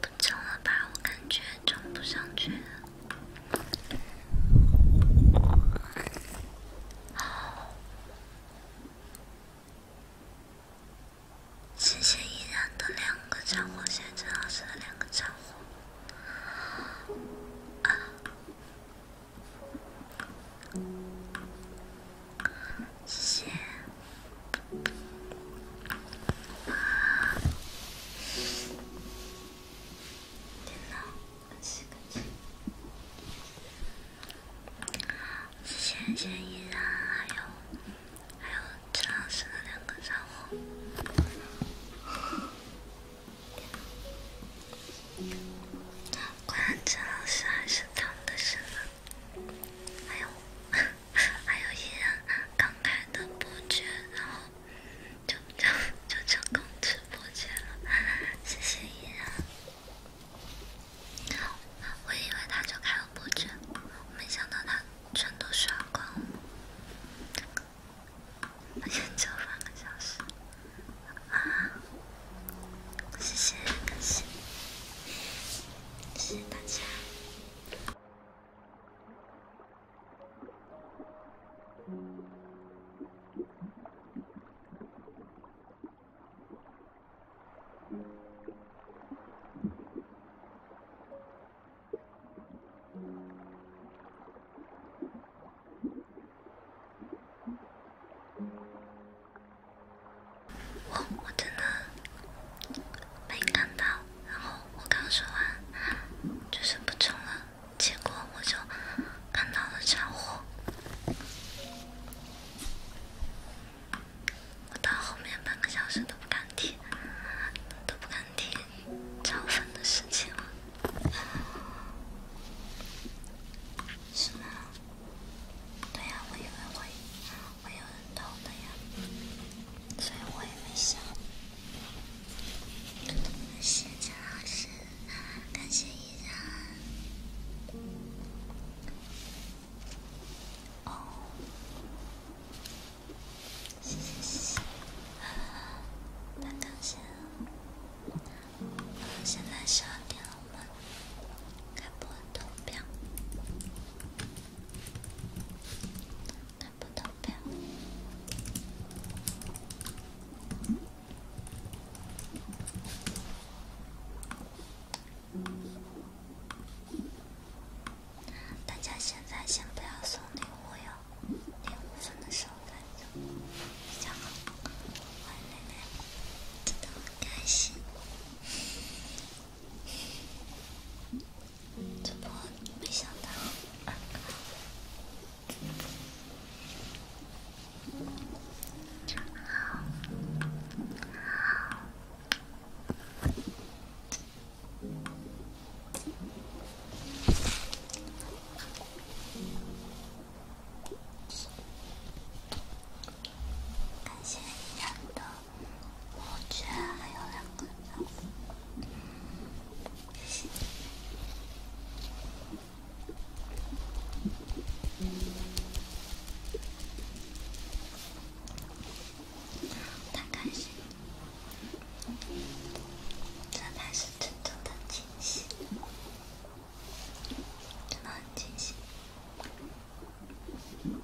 不中了吧？我感觉中不上去。谢谢依然的两个战火，谢谢陈老师的两个战火。啊，谢谢。电脑，洗个谢依然还有还有陈老师的两个任务。还有伊人刚开的伯爵，然后就就就成功吃伯爵了，谢谢伊人。我以为他就开了伯爵，没想到他全都刷光了。还有就半个小时啊！谢谢，感谢，谢谢大家。我，我真没看到，然后我刚说完就是不充了，结果我就看到了超火。我到后面半个小时都不敢提，都不敢提超粉的事情了。是吗？对呀，我以为我。会有人偷的呀，所以我也没想。谢谢老师，感谢依然。现在十二点了嘛？开播图标。看不到呗。大家现在先不要送礼物哟，零五分的时候再送，比较好。欢迎蕾蕾，真的很开心。怎么没想到？感谢依然的。我这还有两个呢，太开心，这才是真正的惊喜，真的很惊喜。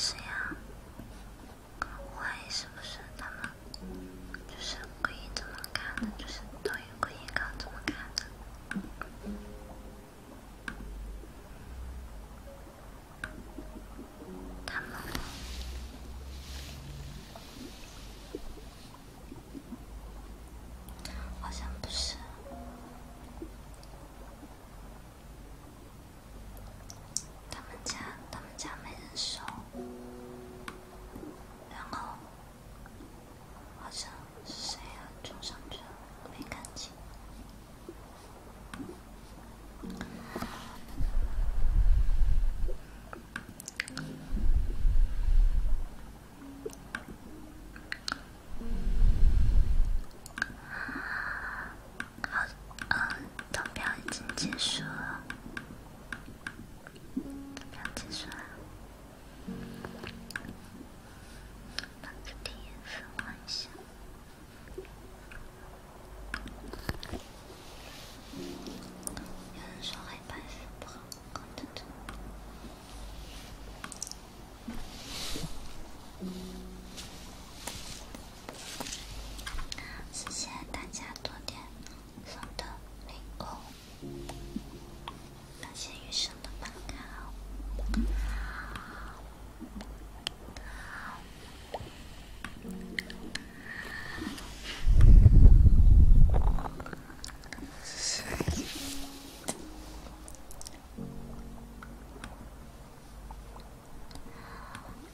是呀。我怀疑是不是他们就是故意这么看的，就是导演故意搞这么看的。他们好像不是。他们家，他们家没人收，然后好像是谁啊？坐上去了，没看清。好，呃，投票已经结束了，投票结束了，把字体颜色换一下。有人说黑白不好看的。谢谢大家昨天送的礼物，感谢雨生宝宝。大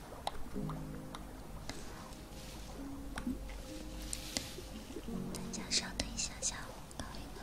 家稍等一下，下午搞一个。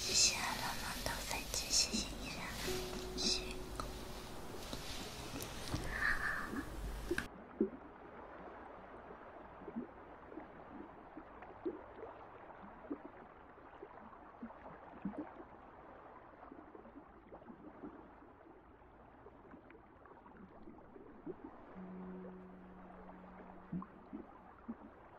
谢谢冷梦的粉紫，谢谢依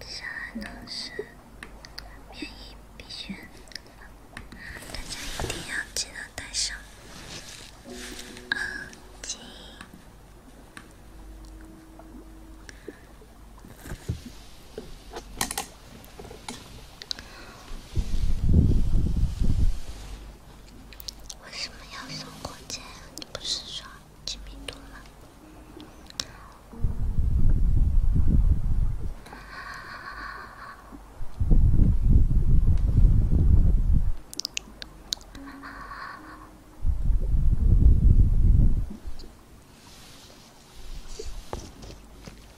接下来呢是免疫鼻血，大家一定要记得带上耳机。为什么要送火箭呀？你不是说机密多吗？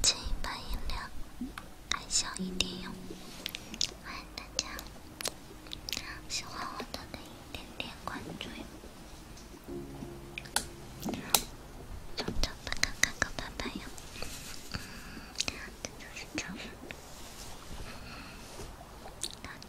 减一半音量，还小一点哟。欢迎大家，喜欢我的可以点点关注哟。宝宝，看看狗爸爸哟。嗯，这就是狗。那。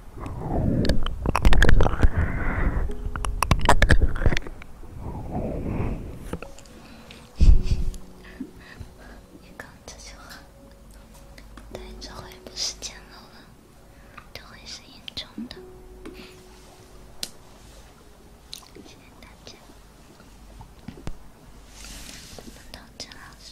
你刚这句话，对，这回不是简陋了，这回是严重的。谢谢大家，我们同陈老师。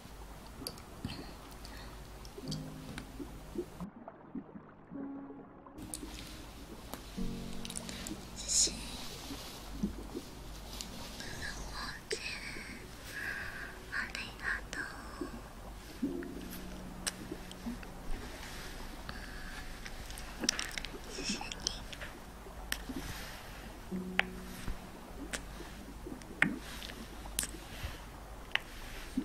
自信ありがとう自信に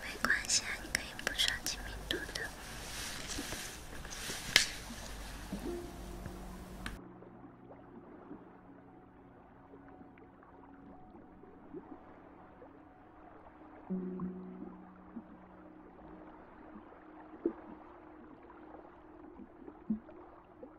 没关系，你可以不刷亲密度的。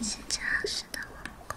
七小时的晚归。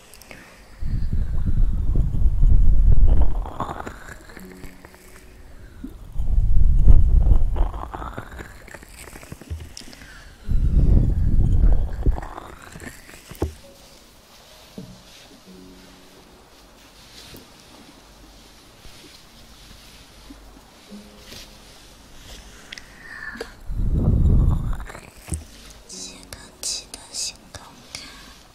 写钢七的新钢卡。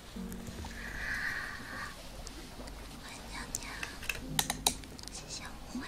喂，娘娘，吉祥物会。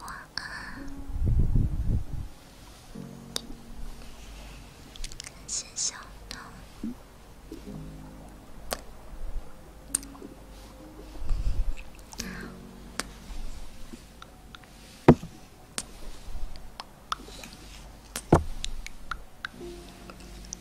晚安，感谢小唐。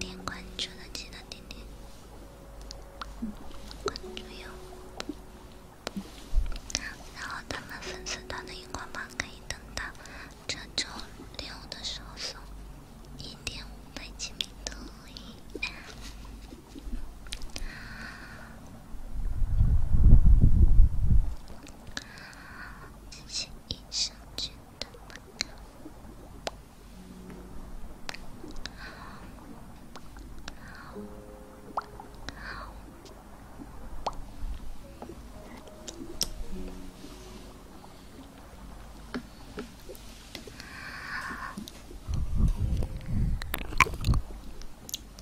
点关注的记得点点关注哟。然后他们粉丝团的荧光棒可以等到这周六的时候送，一点五百金币都可以。这些医生真的不敢。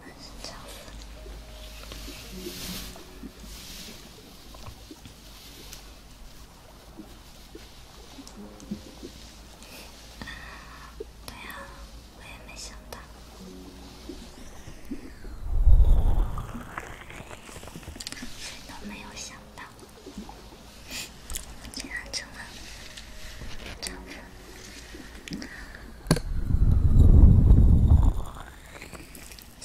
还是巧合。对呀，我也没想到，都没有想到，竟然成了这样。七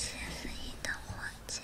十一的火箭。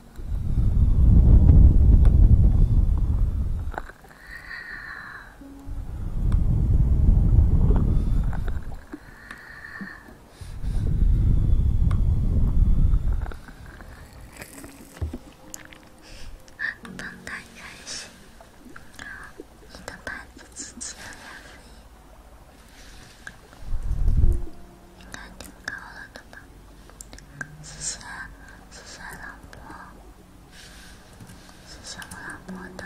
太开心了！你的牌子值钱应该挺高了的吧？谢谢，谢谢老婆，谢谢我老婆的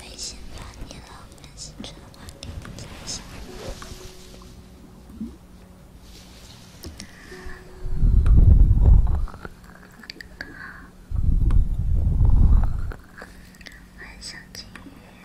微信发你了，担心转发你不在家。好，欢迎小金鱼。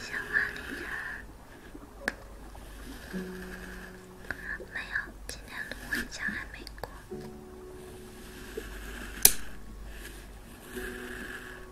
想马林儿，没有，今天录音墙还没过。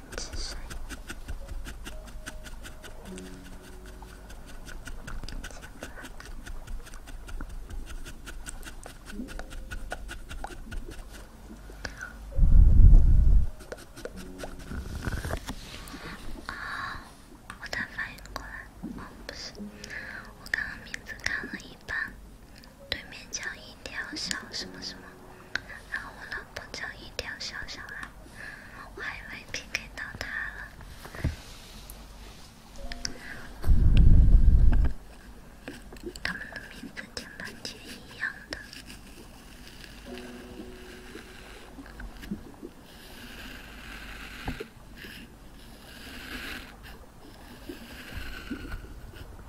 哦，我才反应过来，不是，我刚刚名字看了一半，对面叫一条小什么什么，然后我呢？碰巧一条小小孩，我还以为 PK 到他了。他们的名字挺难天一样的。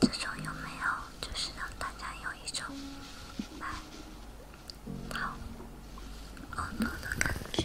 这种有没有，就是让大家有一种来好欢乐的感觉。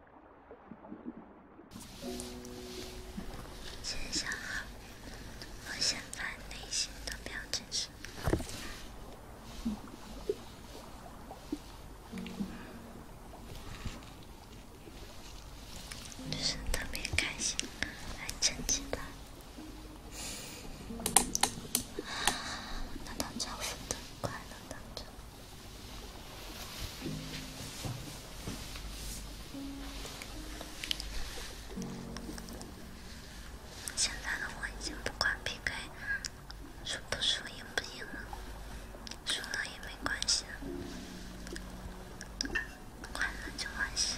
先想好，我现在内心的表情是，就是特别开心，还震惊了，拿到祝福的快乐当中。现在的我已经不管 P K 输不输、赢不赢了，输了也没关系，快乐就完事。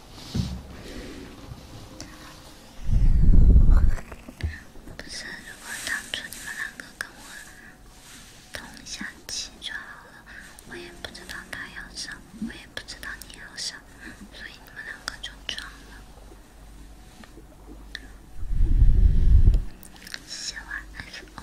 不是，如果当初你们两个跟我同下棋就好了。我也不知道他要上，我也不知道你要上，所以你们两个就装了。写完 F O。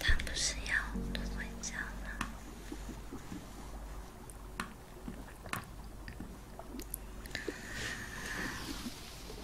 他不是要多睡觉吗？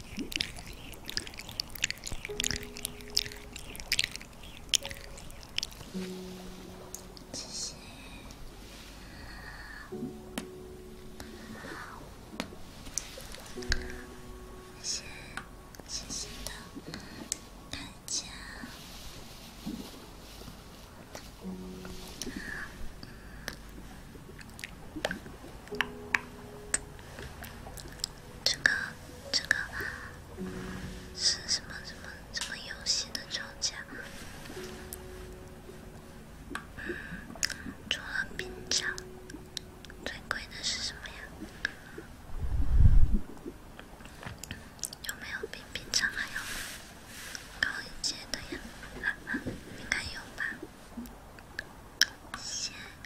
谢谢，猫，谢谢谢谢的这个这个是什么什么什么游戏的抽奖？除了平常，最贵的是什么呀？有没有比平常还要高一些的呀？应该有吧？先。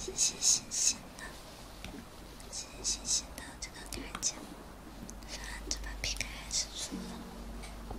谢谢星星的，谢谢星星的这个大奖。反正这把 PK 还是输了。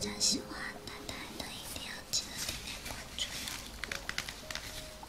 大家喜欢淡淡的，一定要记得点赞关注哟。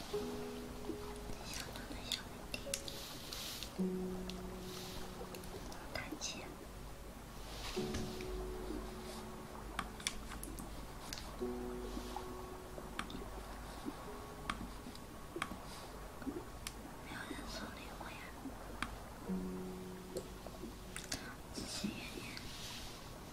小兔子，小弟弟，不要叹气。没有人送礼物呀，谢谢爷爷。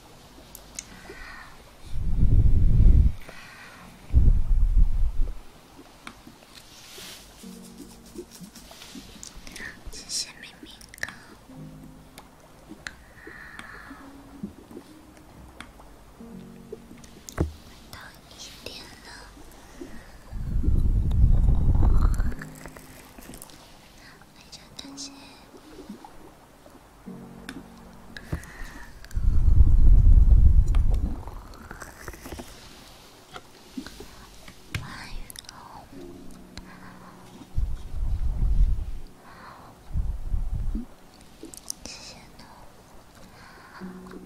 谢谢明明哥，到一点了。非常感谢，万语哦，谢谢侬。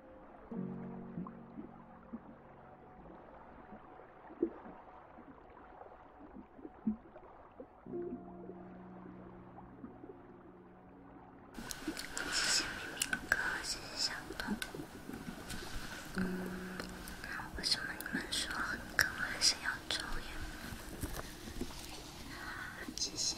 谢谢明明哥，谢谢小彤。为什么你们说哥还是要抽烟？谢谢。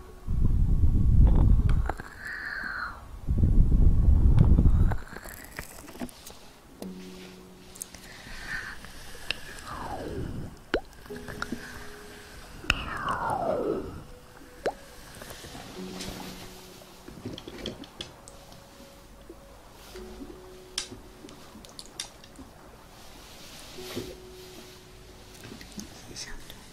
想对。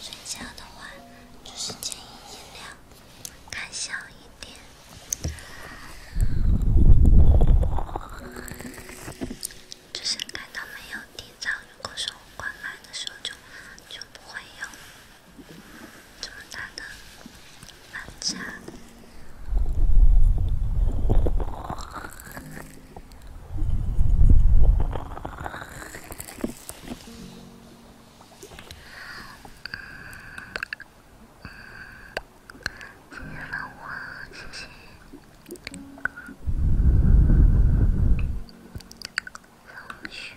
睡觉的话，就是建议音量开小一点，就是感到没有低噪。如果说我快慢的时候，就就不会有这么大的反差。谢谢芳华，谢谢芳雪，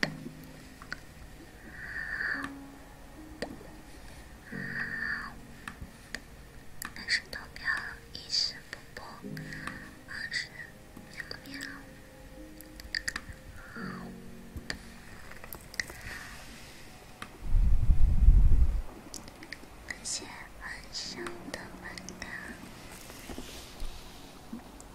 开始投票，一声不播，二十秒秒。好，感谢晚上的打卡。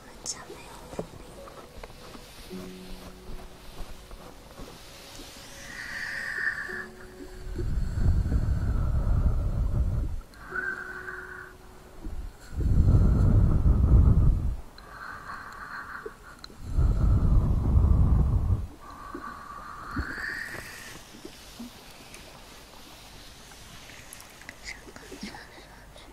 上个厕所去。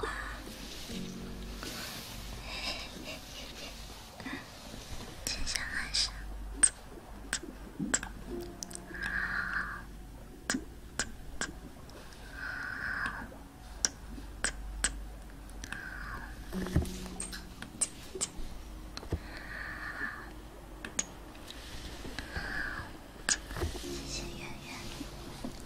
哇！接下来是，啧啧啧，啧啧啧，啧啧啧，谢谢圆圆。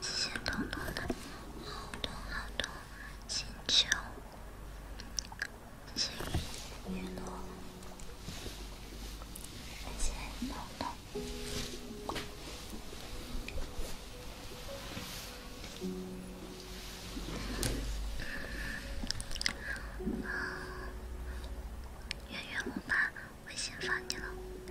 谢谢彤彤的好多好多星球，谢谢雨雨谢谢彤彤。圆圆，我把微信发你了。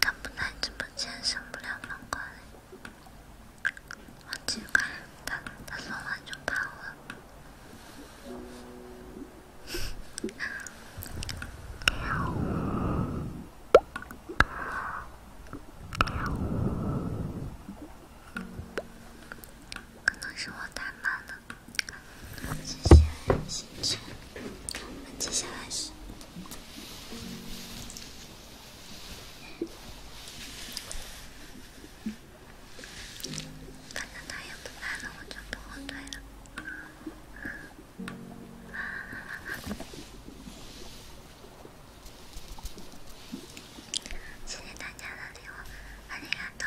他不在直播间，升不了皇冠。好奇怪，他他说完就跑了。可能是我太慢了。接下来是，我们接下来是，反正他也不来了，我就不后退了。谢谢大家的礼物，谢谢大家。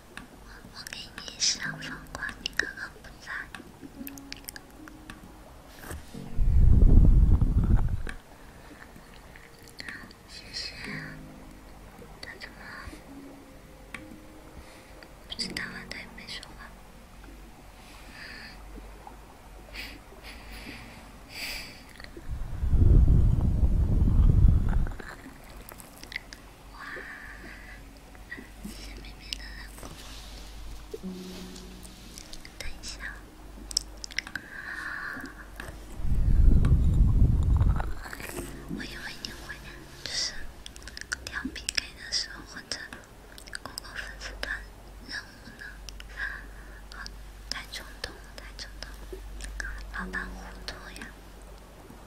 我给你上皇管，你刚刚不在。谢谢。他怎么？不知道啊，他也没说话。哇，谢妹妹的礼物。等一下，我以为你会就是聊 P K 的时候或者过过粉丝团任务呢，好，太冲动，太冲动，老板糊涂呀。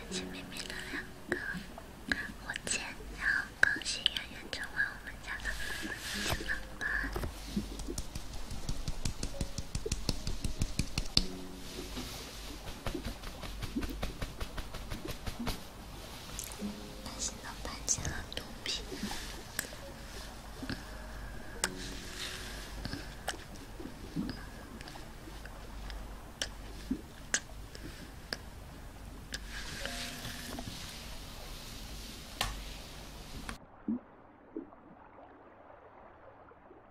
感谢妹妹的两个，我见，然后恭喜圆圆成为我们家的亲妈妈。担心他搬进了毒品。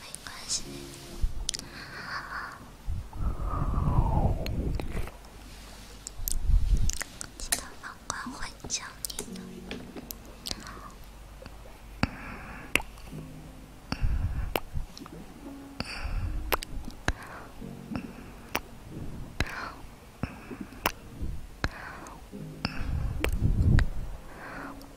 没关系，其他房管会教你的。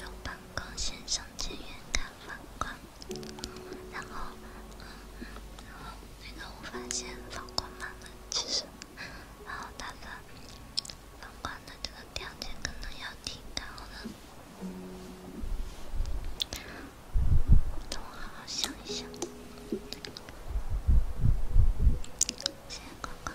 用反光线上镜远看反光，然后，然后那个我发现反光慢了，其实。然后打算放宽的这个条件，可能要提高。我等我好好想一想，再看看。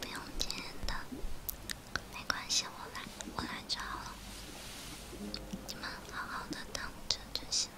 不用接的，没关系，我来，我来就好了，你们好好的等着就行。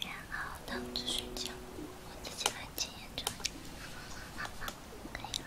然后躺着睡觉，我自己来检验证，好吗？可以了。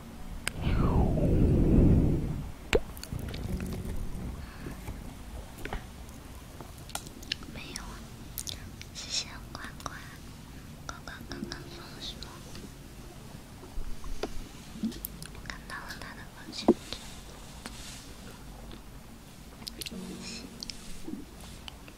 没有啊，谢谢乖乖。乖乖刚刚放什么？我看到了他的朋友圈。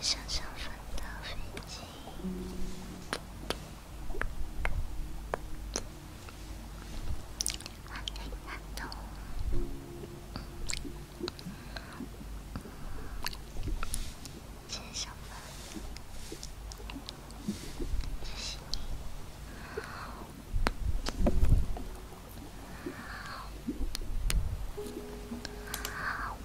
接上上分的飞机，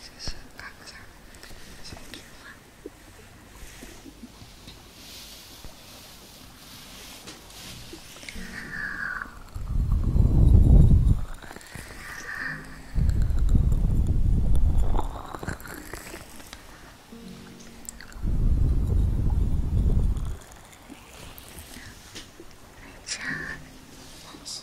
谢谢班长，先吃饭。家，三十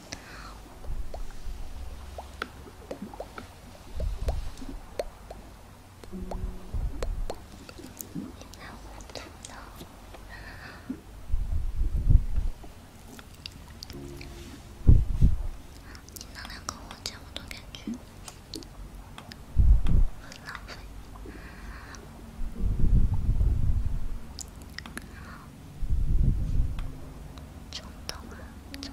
你那两个火箭，我都感觉中头中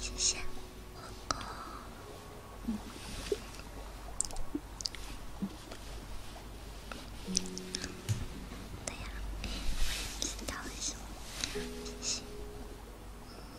谢谢，嗯，对呀，知道为什么，谢谢。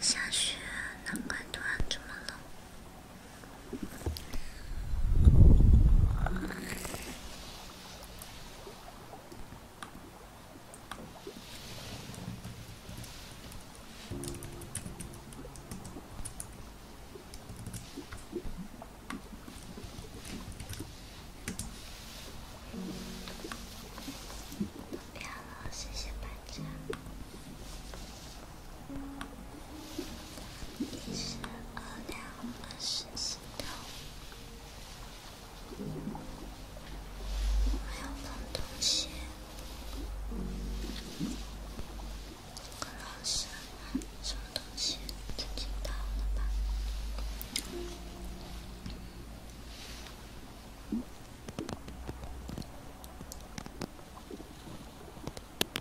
下雪，难怪突然这么冷。不要了，谢谢班长。一十二两二十七克，我没有放东西，可能是什么东西自己到了吧。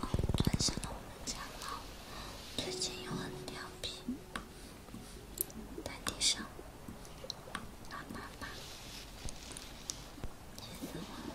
哦，转向了我们家猫，最近又很调皮，在地上拉拉粑，气死我了。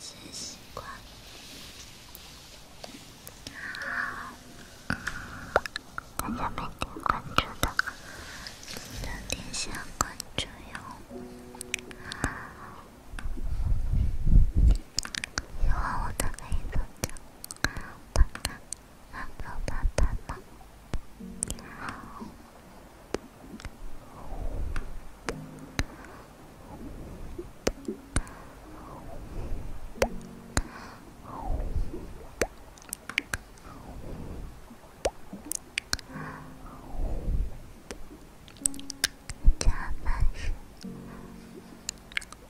谢谢关注，大家没点关注的记得点下关注哟。以后我都可以做家，爸爸、妈妈、爸爸、妈妈。加班时。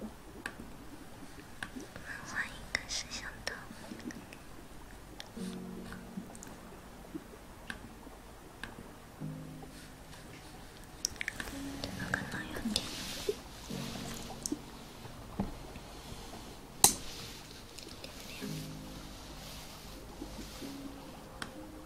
我们换一个摄像头，这个可能有点。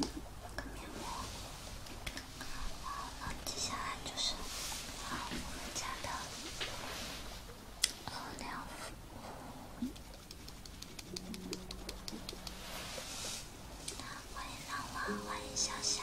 有个面膜，好了，接下来就是我们家的小小。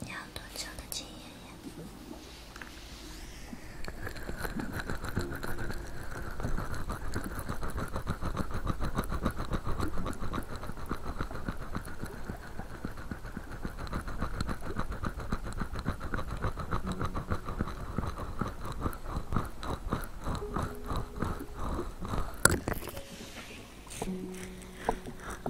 你要多久的经验呀？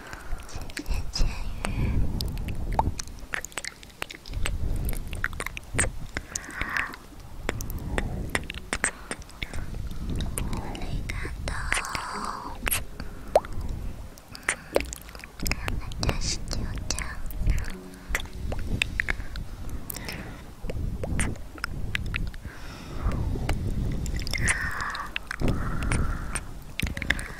谢谢千羽，我理解到，感谢十九章。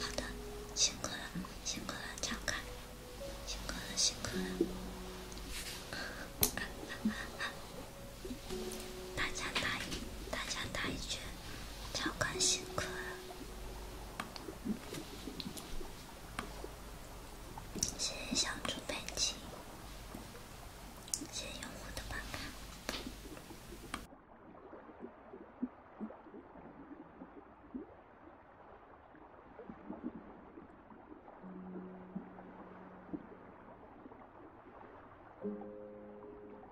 好的，辛苦了，辛苦了，张开，辛苦了，辛苦了，大家打大家打一圈。超开心！谢谢小猪佩奇，谢谢用户的打卡。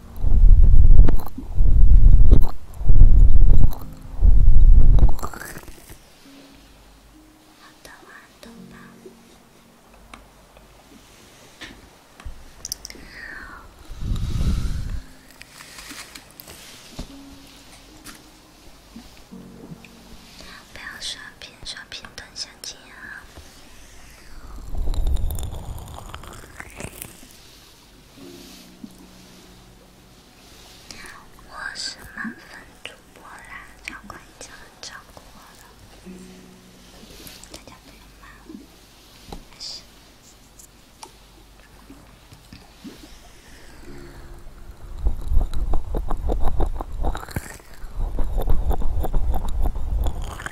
好的，好的。不要刷屏，刷屏蹲下机啊！我是满分主播啦，小乖已经很照顾我了，大家不用骂我，开始。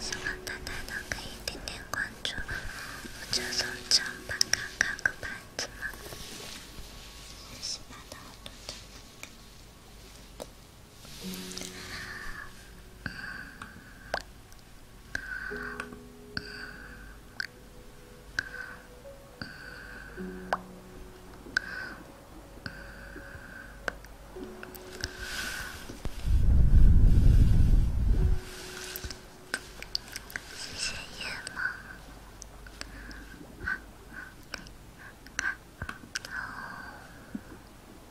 希望大家都可以点点关注，或者从键盘看看个板子嘛。深夜吗？哈喽。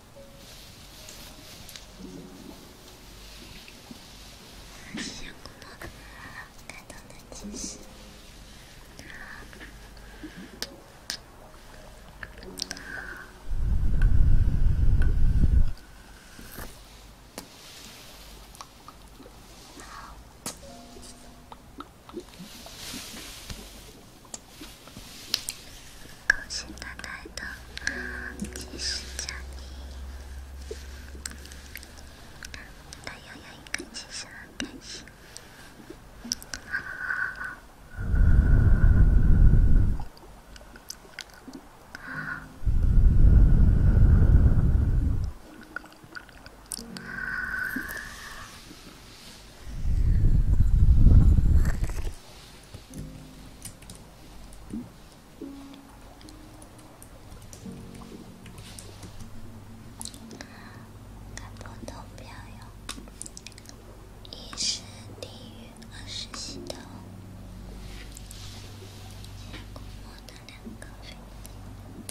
即将攻克，感动的气势。高兴太太的惊喜奖励，他又有一个惊喜了，开心！好好好。开播投票哟！一是地狱，二是系统。我的两个飞机。